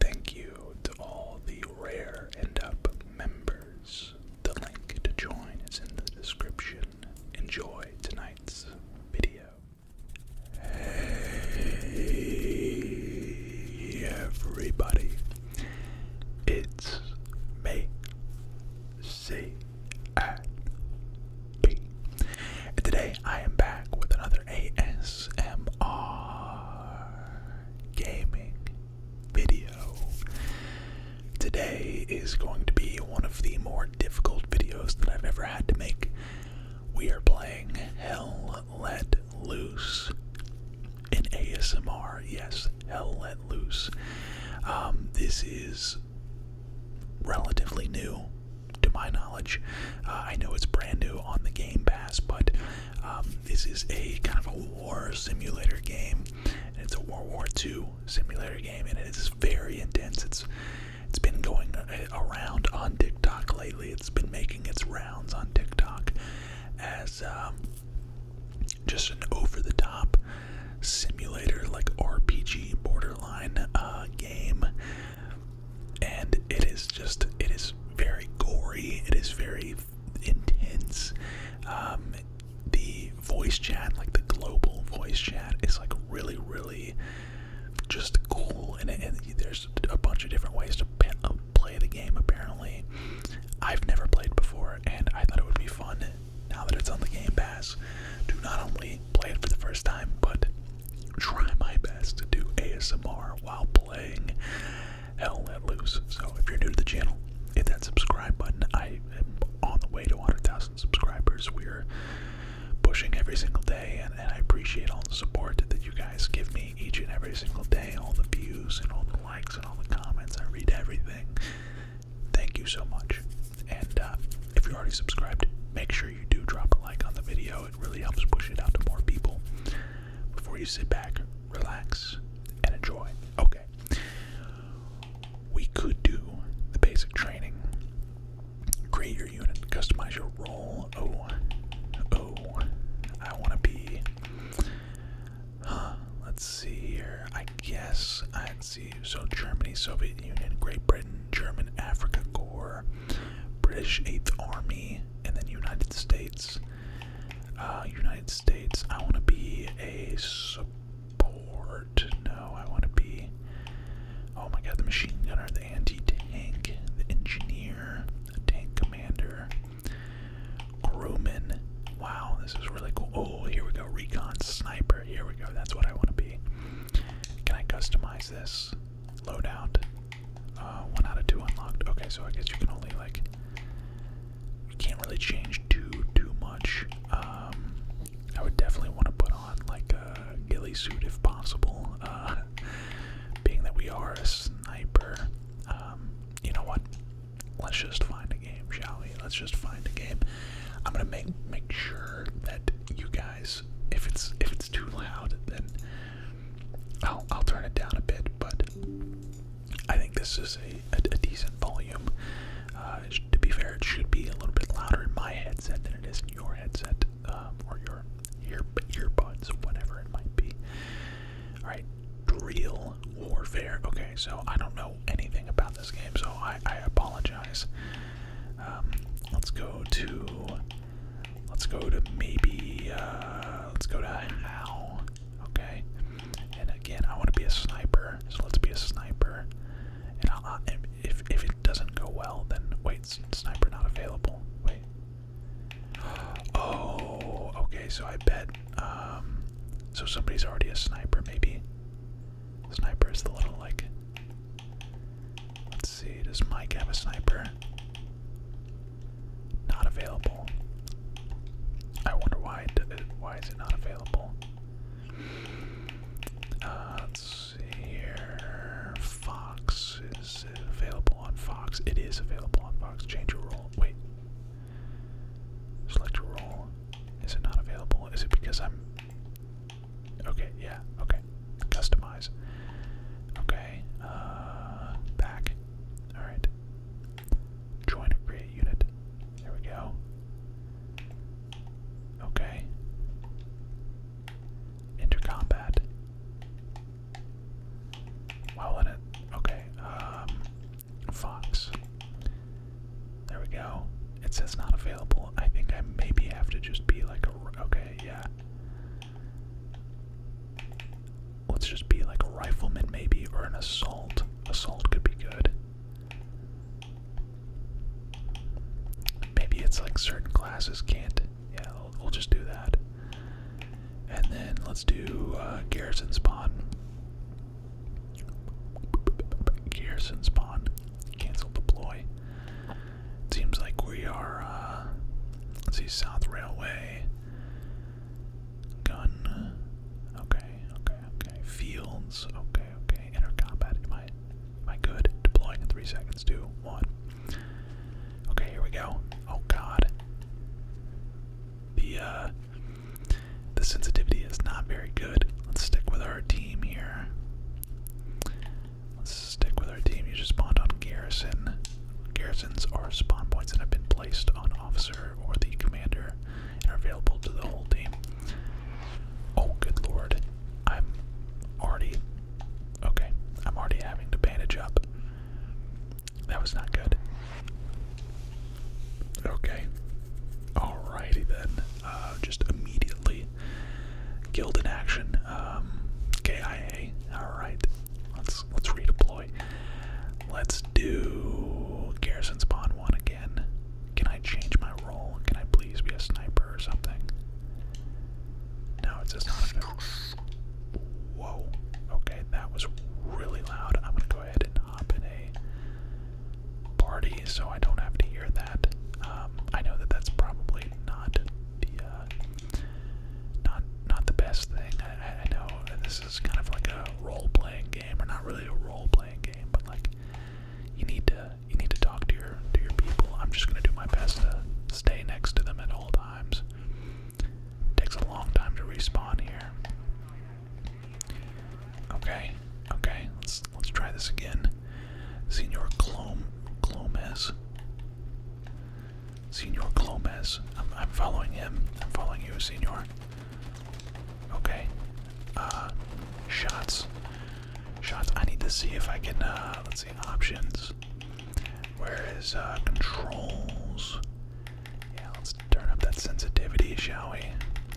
Thank you to all the Rare end Up members. The link to join is in the description. Enjoy tonight's video. Hey everybody, it's me, C today I am back with another ASMR gaming video. Today is going to be one of the more difficult videos that I've ever had to make. We are playing Hell Let Loose in ASMR. Yes, Hell Let Loose. Um, this is relatively new to my knowledge. Uh, I know it's brand new on the Game Pass, but um, this is a kind of a war simulator game, and it's a World War II simulator game, and it is very intense. It's it's been going uh, around on TikTok lately. It's been making its rounds on TikTok as um, just an over-the-top simulator, like RPG borderline uh, game and it is just it is very gory. It is very intense. Um, the voice chat, like the global voice chat, is like really really just cool. And, and there's a bunch of different ways to uh, play the game. Apparently, I've never played before, and I thought it would be fun. Now that it's on the Game Pass, to not only play it for the first time, but try my best to do ASMR while playing Hell Let Loose. So if you're new to the channel, hit that subscribe button. I am on the way to 100,000 subscribers. We're pushing every single day, and, I appreciate all the support that you guys give me each and every single day, all the views and all the likes and all the comments. I read everything. Thank you so much. And uh, if you're already subscribed, make sure you do drop a like on the video. It really helps push it out to more people before you sit back, relax, and enjoy. Okay. We could do the basic training. Create your unit, customize your role. Oh, oh, I want to be. let's see here. I guess I'd see. So, Germany, Soviet Union, Great Britain, German Africa Corps, British Eighth Army, Germany, and then United States. Uh, United States, I want to be a support. No, I want to be. Oh my god, the machine gunner, the anti tank, the engineer, the tank commander, crewman. Wow, this is really cool. Oh, here we go. Recon sniper. Here we go. That's what I want to be. Can I customize this? loadout. Uh, one out of two unlocked. Okay, so I guess you can only like you can't really change too too much. Um, I would definitely want to put on like a ghillie suit if possible. Uh, being that we are a sniper, um, you know what? Let's just find a game, shall we? Let's just find a game. I'm gonna make make sure that you guys, if it's if it's too loud, then I'll, I'll turn it down a bit, but I think this is a, a, decent volume. Uh, to be fair, it should be a little bit louder in my headset than it is in your headset um, or your ear earbuds, whatever it might be. All right, real warfare. Okay, so I don't know anything about this game, so I, I apologize. Um, let's go to Let's go to maybe, uh, let's go to how, okay? And again, I want to be a sniper, so let's be a sniper. And i if, if it doesn't go well, then wait, sniper not available. Wait. Oh, okay, so I bet, um, so somebody's already a sniper, maybe. Sniper is the little, like, Let's see, does Mike have a sniper? Not available. I wonder why it, uh, why is it not available? Uh, let's see here. Fox is it available on Fox. It is available on Fox. Change your role. Wait. Select a role. Is it not available? Is it because I'm Okay, yeah, okay. Customize. Okay. Uh, back. Alright. Join or create unit. There we go. Okay. Enter combat. Well in it. Okay. Um, Fox. There we go. It says not available. I think I maybe have to just be like a. Okay, yeah. Let's just be like a rifleman, maybe, or an assault. Assault could be good. Maybe it's like certain classes can't. Yeah, we'll, just do that. And then let's do uh, garrison spawn. Garrison spawn. Cancel deploy seems like we are, uh, let's see, South Railway. Gun. Okay, okay, okay. Fields. Okay, okay. Enter combat. Am I, am I good? Deploying in three seconds. Two, one. Okay, here we go. Oh god. The, uh, the sensitivity is not very good. Let's stick with our team here. Let's stick with our team. You just spawned on garrison. Garrisons are spawn points that have been placed on officer or the commander and are available to the whole team. Oh, good lord. I'm already. Okay, I'm already having to bandage up. That was not good. Okay. Alrighty then. Uh, just immediately Guild in action. Um, KIA. Alright. Let's let's redeploy. Let's do Garrison Spawn 1 again. Can I change my role? Can I please be a sniper or something? No, it's just not a Whoa. Okay, that was really loud. I'm gonna go ahead and hop in a party so I don't have to hear that. Um, I know that that's probably not the uh, not not the best thing. I, know this is kind of like a role-playing game, or not really a role-playing game, but like you need to you need to talk to your to your people. I'm just gonna do my best to stay next to them at all times. Takes a long time to respawn here. Okay, okay, let's let's try this again. Senor Clom Clomes. Senor Clomes. I'm, following him. I'm following you, Senor. Okay. Uh, shots. Shots. I need to see if I can, uh, let's see, options. Where is, uh, controls? Yeah, let's turn up that sensitivity, shall we?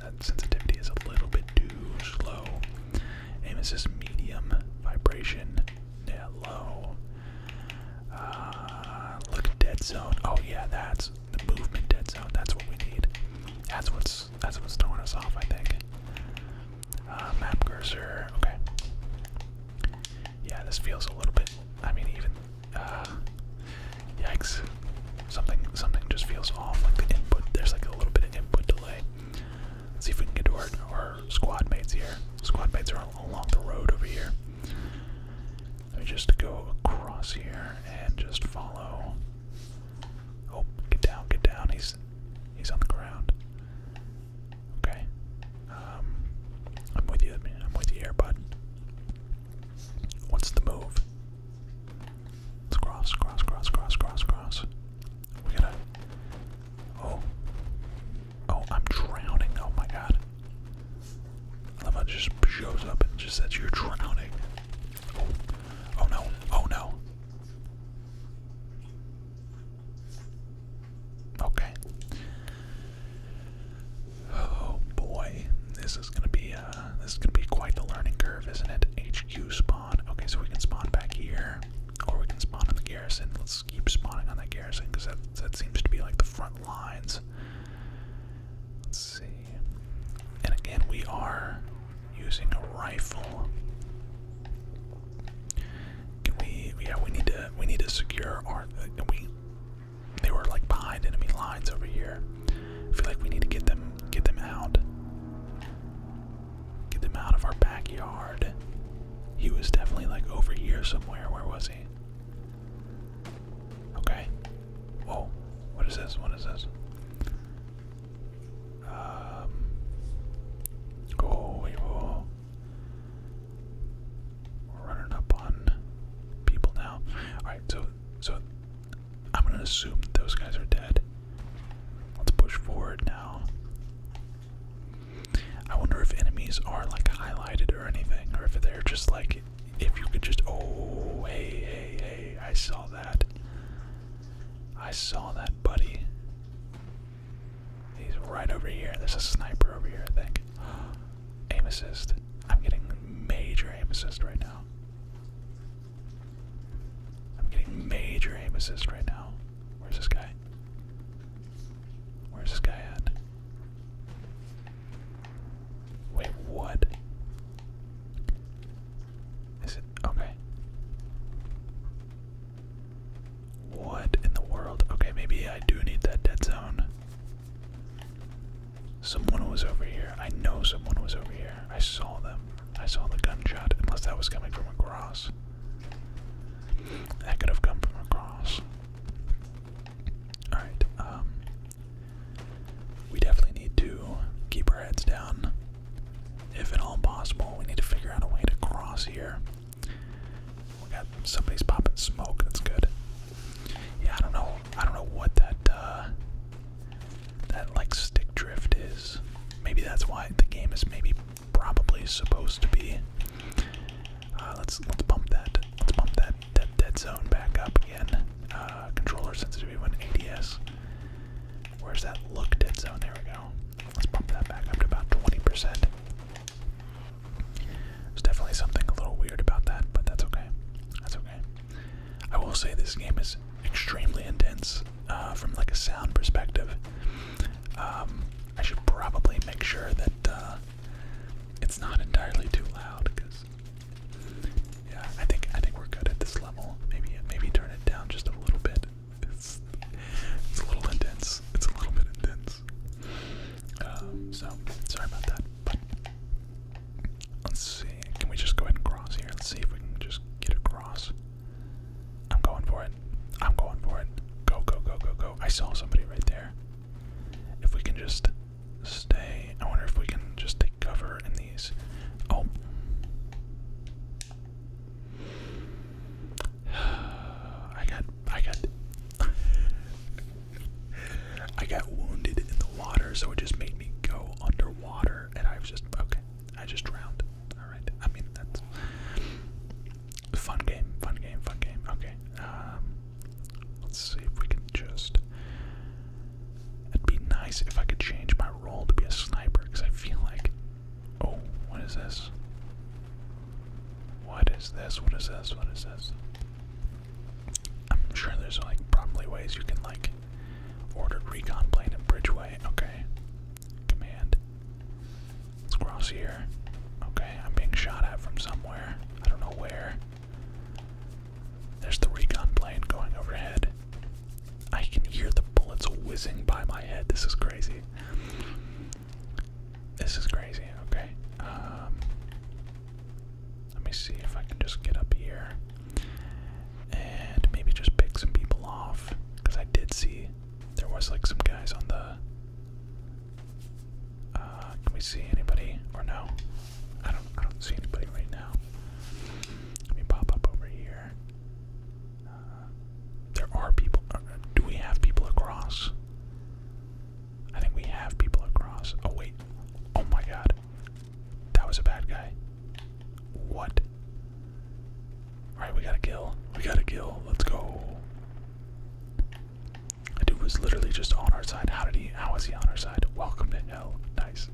That sensitivity is a little bit too slow. Aim assist medium, vibration low. Uh, look at dead zone. Oh yeah, that's the movement dead zone. That's what we need. That's what's that's what's throwing us off, I think. Uh, map cursor. Okay. Yeah, this feels a little bit. I mean, even. Uh, yikes! Something something just feels off. Like the input. There's like a little bit of input delay. Let's see if we can get to our, our squad mates here. Squad mates are along the road over here. Let me just go across here and just follow. Oh, get down, get down. He's he's on the ground. Okay. Um, I'm with you. Man. I'm with you here, bud. What's the move? Let's cross, cross, cross, cross, cross, cross. We gotta Oh. Oh, I'm drowning. Oh my god. I love just shows up and just says you're drowning. Oh. oh. no. Oh no. Okay. Oh boy. This is gonna be a uh, this is gonna be quite the learning curve, isn't it? HQ spawn. Okay, so we can spawn back here. Or we can spawn on the garrison. Let's keep spawning on that garrison because that, that seems to be like the front lines. Let's see. And again, we are using a rifle. Can we? Yeah, we need to. We need to secure our. Uh, we. They were like behind enemy lines over here. I feel like we need to get them. Get them out. Get them out of our backyard. He was definitely like over here somewhere. Where was he? Okay. Whoa. What is this? What is this? Um. Oh, we will. We're running up on people now. All right. So, so I'm gonna assume those guys are dead. Let's push forward now. I wonder if enemies are like highlighted or anything, or if they're just like, if you could just, oh, hey, hey, hey, I saw that. I saw that, buddy. He's right over here. There's a sniper over here, I think. aim assist. I'm getting major aim assist right now. I'm getting major aim assist right now. Where's this guy? Where's this guy at? Wait, what? Is it okay? What in the world? Okay, maybe I do need that dead zone. Someone was over here. I know someone was over here. I saw them. I saw the gunshot, unless that was coming from across. That could have come from across. Alright, um, We definitely need to keep our heads down. If at all possible, we need to figure out a way to cross here. We got somebody's popping smoke, that's good. Yeah, I don't know I don't know what that uh that like stick drift is. Maybe that's why the game is maybe probably supposed to be. Uh, let's let's bump that. Let's pump that that dead zone back up again. Uh, controller sensitivity when ADS. Where's that look dead zone? There we go. Let's bump that back up to about 20%. There's definitely something a little weird about that, but that's okay. That's okay. I will say this game is extremely intense uh, from like a sound perspective. Um, I should probably make sure that uh, it's not entirely too loud, because yeah, I think I think we're good at this level. Maybe maybe turn it down just a little bit. It's it's a little intense. It's a little bit intense. Um, so sorry about that. But let's see. Can we just go ahead and cross here? Let's see if we can just get across. I'm going for it. I'm going for it. Go, go, go, go, go. I saw somebody right there. If we can just stay. I wonder if we can just take cover in these. Oh. I got. I got. I got wounded in the water, so it just made me go underwater, and I was just. Okay. I just drowned. Alright, I mean, that's fun game, fun game, fun game. Okay, um, let's see if we can just. It'd be nice if I could change my role to be a sniper, because I feel like. Oh, what is this? What is this? What is this? What is this? I'm sure there's like probably ways you can like order recon plane in Bridgeway. Okay. Command. Let's cross here. Okay, I'm being shot at from somewhere. I don't know where. There's the recon plane going overhead. I can hear the bullets whizzing by my head. This is crazy. This is crazy. Okay. Um, let me see if I can just get up here and maybe just pick some people off because I did see there was like some guys on the. Uh, can we see anybody or no? I don't. I don't see anybody right now. Let me pop up over here. Uh, there are people. Uh, do we have people across? I think we have people across. Oh wait. Oh my god. That was a bad guy. What? Alright, we gotta kill. We gotta kill. Let's go. The dude was literally just on our side. How did he how is he on our side? Welcome to hell. Nice.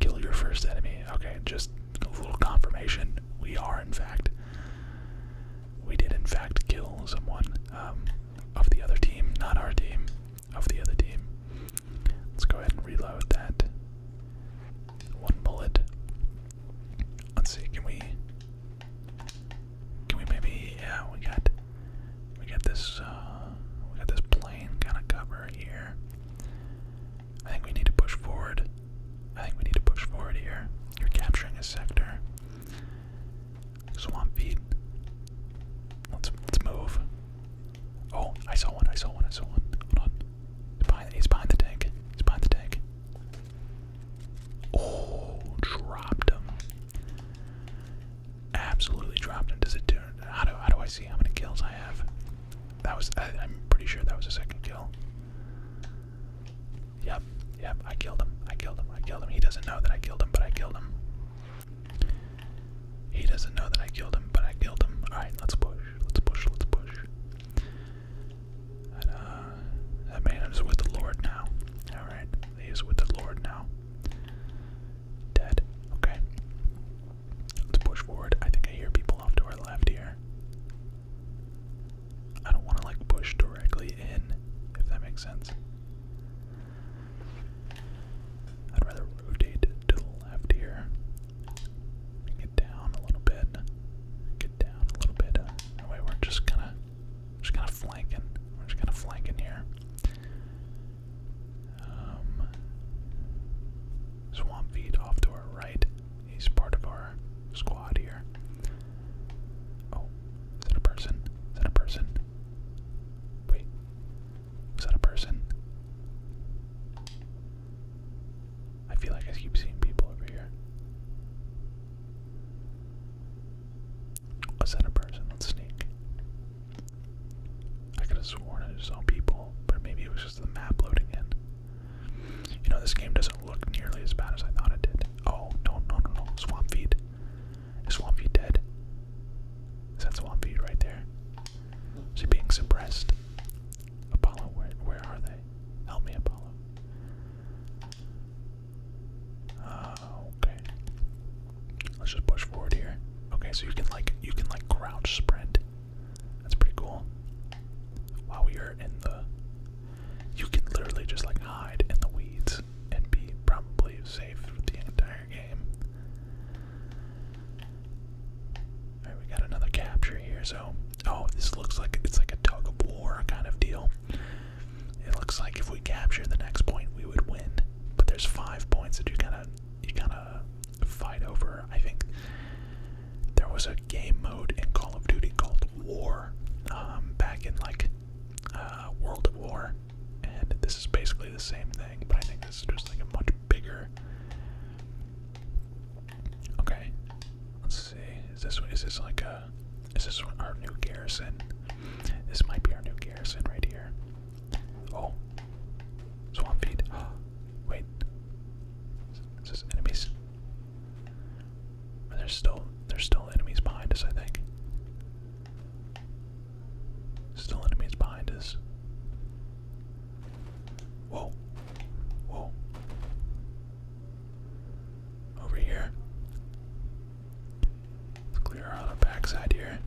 Kill your first enemy. Okay, just a little confirmation. We are in fact we did in fact kill someone um, of the other team, not our team, of the other team. Let's go ahead and reload that. One bullet. Let's see, can we can we maybe yeah, we got we got this uh, we got this plane kinda cover here. I think we need to push forward. I think we need to push forward here. You're capturing a sector. Swamp feet. Let's let's move. Oh, I saw one, I saw one, I saw one. Hold on. He's behind, the tank. He's behind the tank. Oh, dropped him. Absolutely dropped him. Does it do how do how do I see how many kills I have? That was I, I'm pretty sure that was a second kill. Yep, yep, I killed him. I killed him. I killed him. He doesn't know that I killed him, but I killed him. He doesn't know that I killed him, but I killed him. Alright, let's push let's push, let's push. Uh, that man is with the Lord now. Alright, he is with the Lord now. Dead. Okay. Let's push forward. I think I hear people off to our left here. I don't want to, like, push directly in, if that makes sense. I'd rather rotate to the left here. Get down a little bit. Get down a little bit. That we're just kind of, just kind of flanking. We're just kind of flanking here. Um, Swamp Feet off to our right. He's part of our squad here. Oh, is that a person? Is that a person? Wait, is that a person? I feel like I keep seeing people over here. Was that a person? Let's sneak. I could have sworn I just saw people, but maybe it was just the map loading in. You know, this game doesn't look nearly as bad as I thought it did. Oh, no, no, no, no. Swamp feet. Is Swamp feet dead? Is that Swamp feet right there? Is he being suppressed? Apollo, where, where are they? Help me, Apollo. Uh, okay. Let's just push forward here. Okay, so you can like you can like crouch sprint. That's pretty cool. While we are in the, you can literally just like hide in the weeds and be probably safe for the entire game we got another capture here, so oh this looks like it's like a tug of war kind of deal. It looks like if we capture the next point we would win. But there's five points that you kinda you kinda fight over. I think there was a game mode in Call of Duty called War, um, back in like uh, World of War. And this is basically the same thing, but I think this is just like a much bigger Okay. Let's see. Is this one? is this like a is this our new garrison? This might be our new garrison right here. Oh. Swamp feed. Wait. Is enemies? There's still there's still enemies behind us, I think. Still enemies behind us. Whoa. Whoa. Over here. Let's clear out our backside here.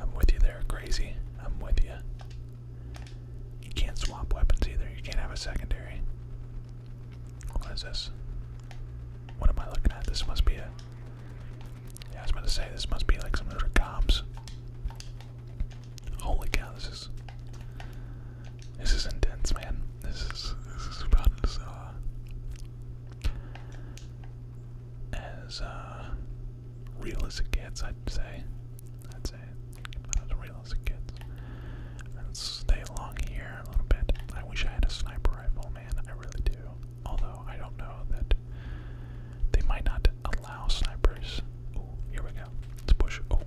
I'm with you there, crazy. I'm with you. You can't swap weapons either. You can't have a secondary. What is this? What am I looking at? This must be a yeah, I was about to say this must be like some sort of cops. Holy cow, this is this is intense, man. This is this is about as uh, as uh, real as it gets. I'd say. I'd say about as real as it gets. Let's stay along here a little bit. I wish I had a sniper rifle, man. I really do. Although I don't know that they might not allow snipers. Oh, here we go. Let's push. Oh,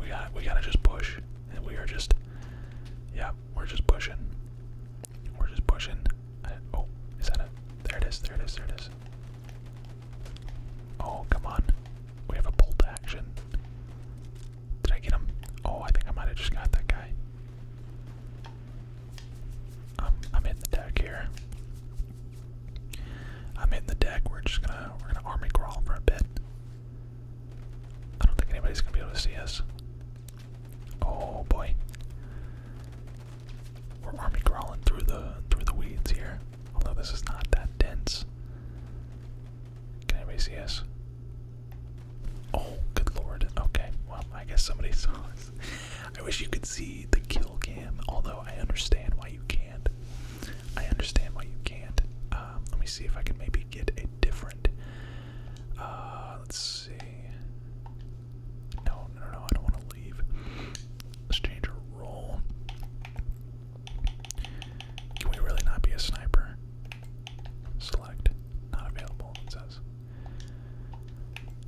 we got. We gotta just push, and we are just. Yeah, we're just pushing. We're just pushing. oh, is that it? There it is. There it is. There it is. Oh, come on. We have a bolt action. Did I get him? Oh, I think I might have just got that guy. I'm in the deck here. I'm in the deck. We're just gonna we're gonna army crawl for a bit. I don't think anybody's gonna be able to see us. Oh boy. We're army crawling through the through the weeds here. Although this is not that dense. Can anybody see us? Oh, good lord. Okay, well, I guess somebody saw us. I wish you could see the kill cam, although I understand why you can't. I understand why you can't. Um, let me see if I can maybe get a different. Uh, let's see. No, no, no, I don't want to leave. Let's change our role. Can we really not be a sniper? Select. Not available, it says.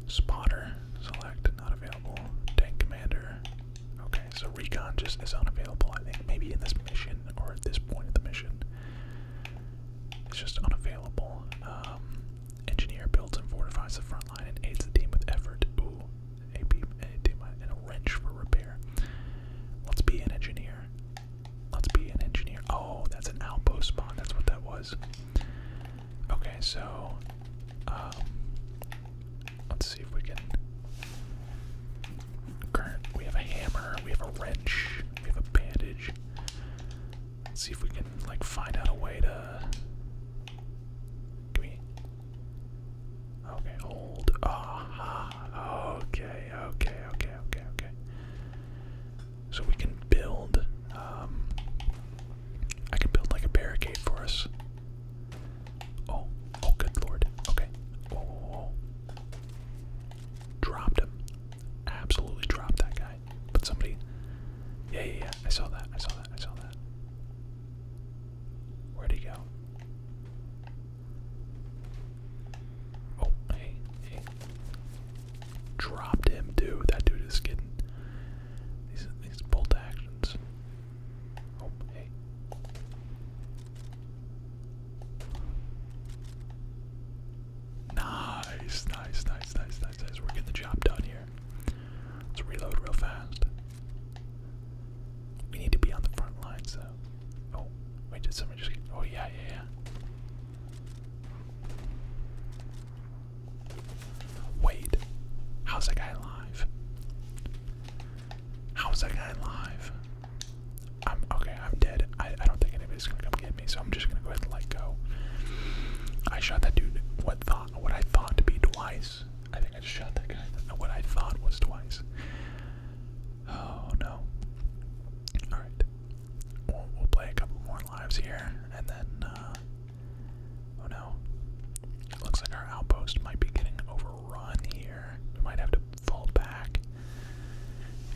Spotter, select, not available. Tank commander. Okay, so recon just is unavailable, I think. Maybe in this mission or at this point in the mission. It's just unavailable. Um, engineer builds and fortifies the front line and aids the team with effort. Ooh, a beam, a team, and a wrench for repair. Let's be an engineer. Let's be an engineer. Oh, that's an outpost spawn. That's what that was. Okay, so um, let's see if we can current we have a hammer, we have a wrench, we have a bandage. see if we can like find out a way to do we Okay, hold. Ah, okay, okay, okay, okay, okay so we can build. Um, I can build like a barricade for us. Oh, oh, good lord. Okay. Oh, oh, oh. dropped him. Absolutely dropped that guy. But somebody. Yeah, yeah, yeah. I saw that. I saw that. I saw that. Where'd he go? Oh, hey, hey dropped him too. That dude is getting these these bolt actions. Oh hey. Nice, nice, nice, nice, nice, nice. We're getting the job done here. Let's reload real fast. We need to be on the front lines though. Oh, wait, did someone just get, oh yeah, yeah, yeah. Wait, how's that guy alive? How's that guy alive? I'm okay, I'm dead. I, I don't think anybody's gonna come get me, so I'm just gonna go ahead and let go. I shot that dude what thought what I thought to be twice. I think I just shot that guy what I thought was twice. Oh no. Alright we'll, play a couple more lives here, and then, uh, oh no. It looks like our outpost might be getting overrun here. We might have to fall back.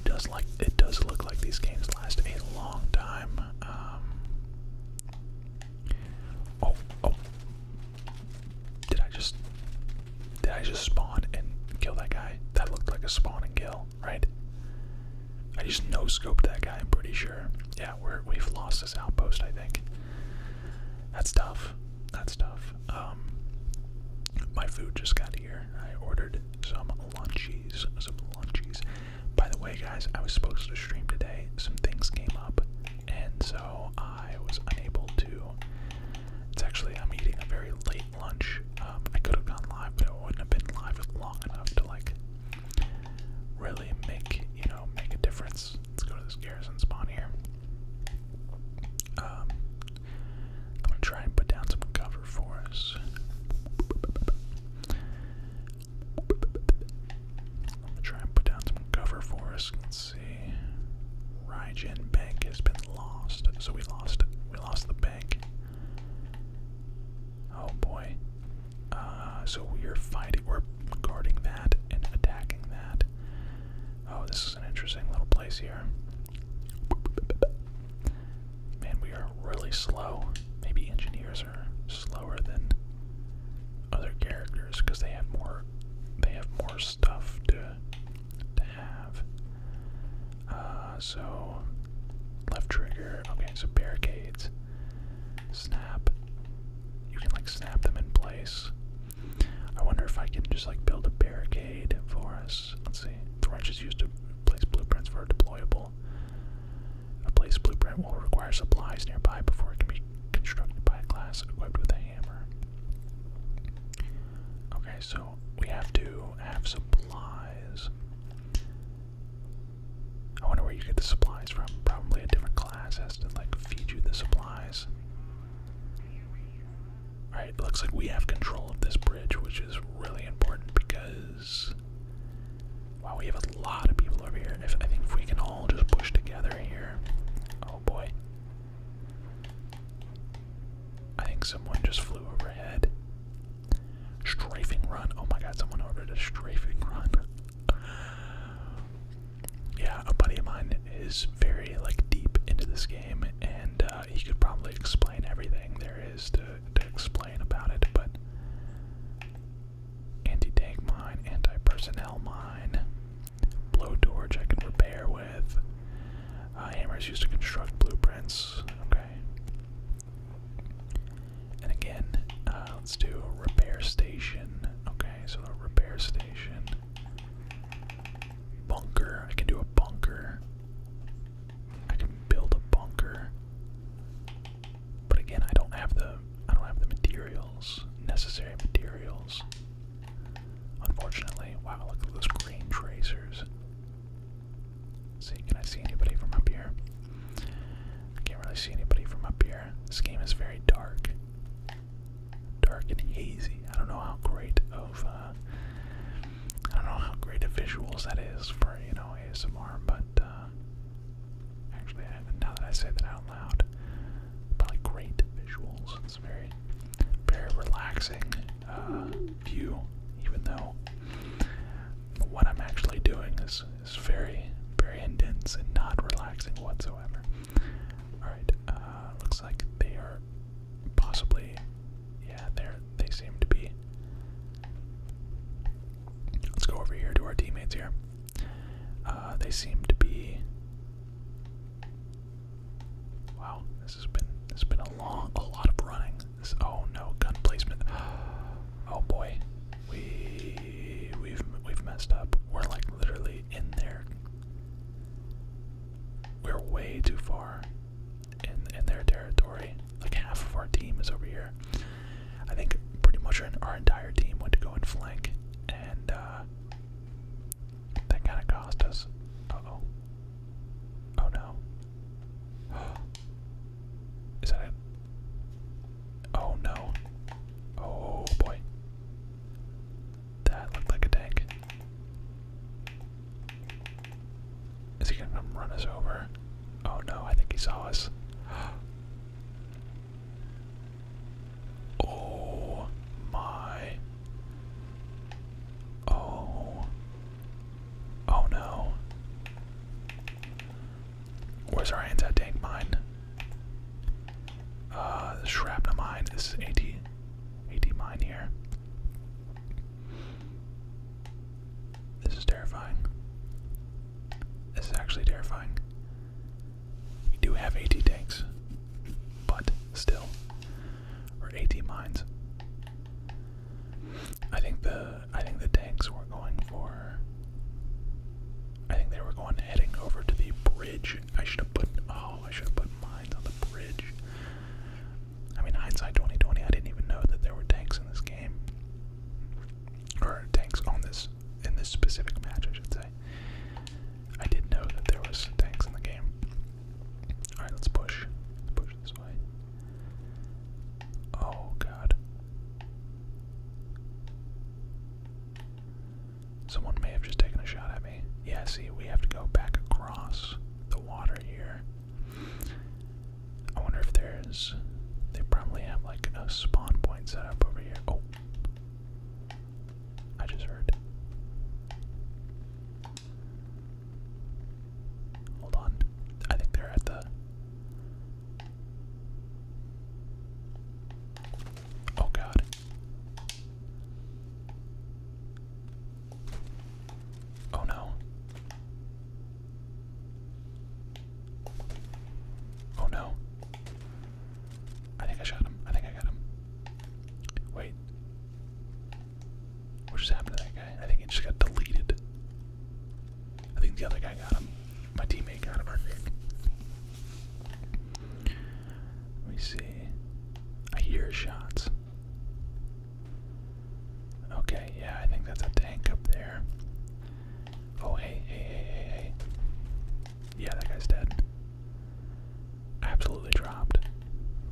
It does like it does look like these games last a long time. Um, oh, oh! Did I just did I just spawn and kill that guy? That looked like a spawn and kill right? I just no scoped that guy, I'm pretty sure. Yeah, we're, we've lost this outpost, I think. That's tough. That's tough. Um, my food just got here. I ordered some lunchies. Some lunchies. By the way, guys, I was supposed to stream today. Some things came up, and so I was unable to. It's actually, I'm eating a very late lunch. I could have gone live, but it wouldn't have been live long enough to like really make you know make a difference. Let's go to this garrison spawn here. Um, I'm gonna try and put down some cover for us. I'm gonna try and put down some cover for us. Let's see. Raijin Bank has been lost, so we lost we lost the bank. Oh boy. Uh, so we are fighting, we're guarding that and attacking that. Oh, this is an interesting little place here. Man, we are really slow. Maybe engineers are slower than other characters because they have more, they have more stuff to to have. Uh, so left trigger. Okay, so barricades. Snap. You can like snap them in place. I wonder if I can just like build a barricade for us. Let's see. The wrench is used to place blueprints for a deployable. A place blueprint will require supplies nearby before it can be constructed by a class equipped with a hammer. Okay, so we have to have supplies. I wonder where you get the supplies from. Probably a different class has to like feed you the supplies. Alright, looks like we have control of this bridge, which is really important because while we have a lot of people over here. If I think if we can all just push together here. Oh boy. I think someone just flew overhead. Strafing run. Oh my god, someone ordered a strafing run. yeah, a buddy of mine is very like deep into this game, and uh, he could probably explain everything there is to, to explain about it. But anti-tank mine, anti-personnel mine, blowtorch I can repair with. Uh, hammers used to construct blueprints. Okay. And again, uh, let's do a repair station. Okay, so a repair station. Bunker. I can do a bunker. I can build a bunker. But again, I don't have the I don't have the materials, necessary materials. Unfortunately, wow! Look at those green tracers. See, can I see anybody from up here? I can't really see anybody from up here. This game is very dark. Dark and hazy. I don't know how great of uh I don't know how great of visuals that is for, you know, ASMR, but uh actually now that I say that out loud, probably great visuals. It's very very relaxing view, even though what I'm actually doing is, is very, very intense and not relaxing whatsoever. Alright, uh, looks like they are possibly, yeah, they they seem to be. Let's go over here to our teammates here. Uh, they seem to be. Wow, this has been this has been a long, a lot of running. Oh no, gun placement. Oh boy, we we've we've messed up. We're like literally in there. We're way too far in in their territory. Like half of our team is over here. I think pretty much our, entire team went to go and flank, and uh, that kind of cost us. Uh oh. Oh no. Oh, is that it? Oh no. Oh boy. That looked like a tank. Is he gonna come run us over? Oh no, I think he saw us. Oh my. Oh Oh no. Where's our anti-tank mine? Uh, shrapnel mine. This is AT, AT mine here. This is terrifying. This is actually terrifying. We do have AT tanks, but still, or AT mines. I think the I think the tanks were going for. I think they were going heading over to the bridge. I should have put oh I should have put mines on the bridge. I mean hindsight 2020. I didn't even know that there were tanks in this game, or tanks on this in this specific match. I should say. I did know that there was tanks in the game. All right, let's push. Let's push this way. Oh god. Someone may have just taken a shot at me. Yeah, see, we have to go back across the water here. I wonder if there's. They probably have like a spawn point set up over here. Oh. I just heard. Hold on. I think they're at the. Oh god. Oh no. Oh no. I think I shot him. I think I got him. Wait. What just happened to that guy? I think it just got deleted. I think the other guy got him. My teammate got him, I Let me see. I hear shots. Okay, yeah, I think that's a tank up there. Oh, hey, hey, hey, hey, hey. Yeah, that guy's dead. Absolutely dropped.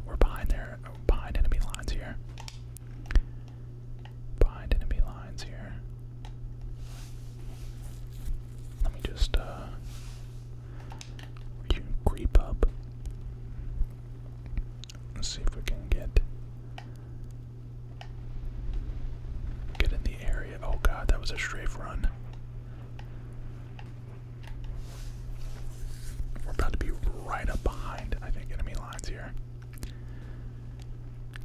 We're behind there, behind enemy lines here behind enemy lines here. Let me just uh, creep up. Let's see if we can get get in the area. Oh god, that was a strafe run. We're about to be right up behind, I think, enemy lines here.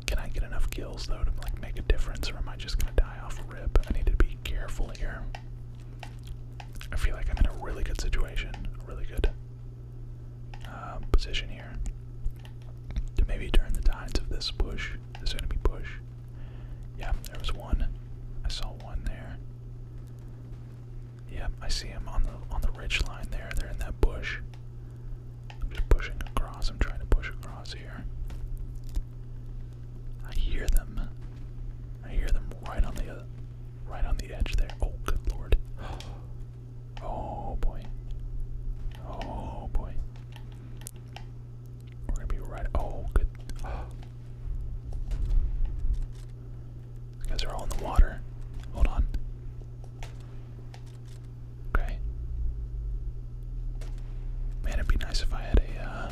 Can I get enough kills though to like make a difference, or am I just gonna die off a rip? I need to be careful here. I feel like I'm in a really good situation, really good um, position here to maybe turn the tides of this push, this enemy push. Yeah, there was one. I saw one there. Yep, I see him on the on the ridge line there. They're in that bush. I'm just pushing across. I'm trying to push across here. I hear them. I hear them right on the uh, right on the edge there. Oh, good lord. Oh boy. Oh boy. We're gonna be right. Oh, good. These guys are all in the water. Hold on. Okay. Man, it'd be nice if I had a. Uh,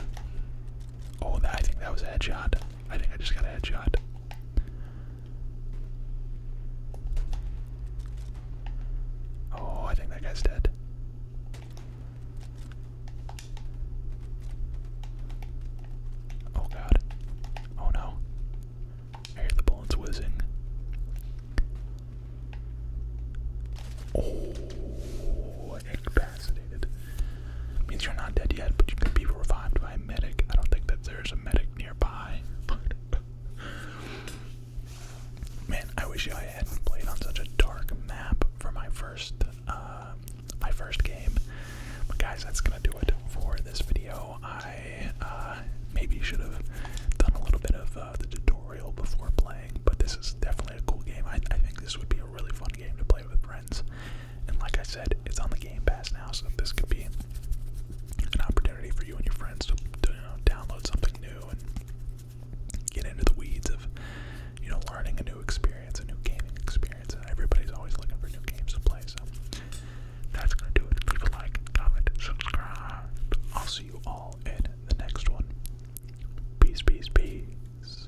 oh, I think that was a headshot. I think I just got a headshot. Oh, I think that guy's dead. Oh god. Oh no. I hear the bullets whizzing. Oh, incapacitated. Means you're not dead yet, but you could be revived by a medic. I don't think that there's a medic nearby. Man, I wish I hadn't played on such a dark map for my first uh, my first game. But guys, that's gonna do it for this video. I uh, maybe should have done a little bit of uh, the tutorial before playing, but this is definitely a cool game. I, think this would be a really fun game to play with friends. And like I said, it's on the Game Pass now, so this could be an opportunity for you and your friends to, download something new and get into the weeds of you know learning a new experience experience, a new gaming experience, and uh, everybody's always looking for new games to play. So that's gonna do it. Leave a like, comment, subscribe. I'll see you all in the next one. Peace, peace, peace.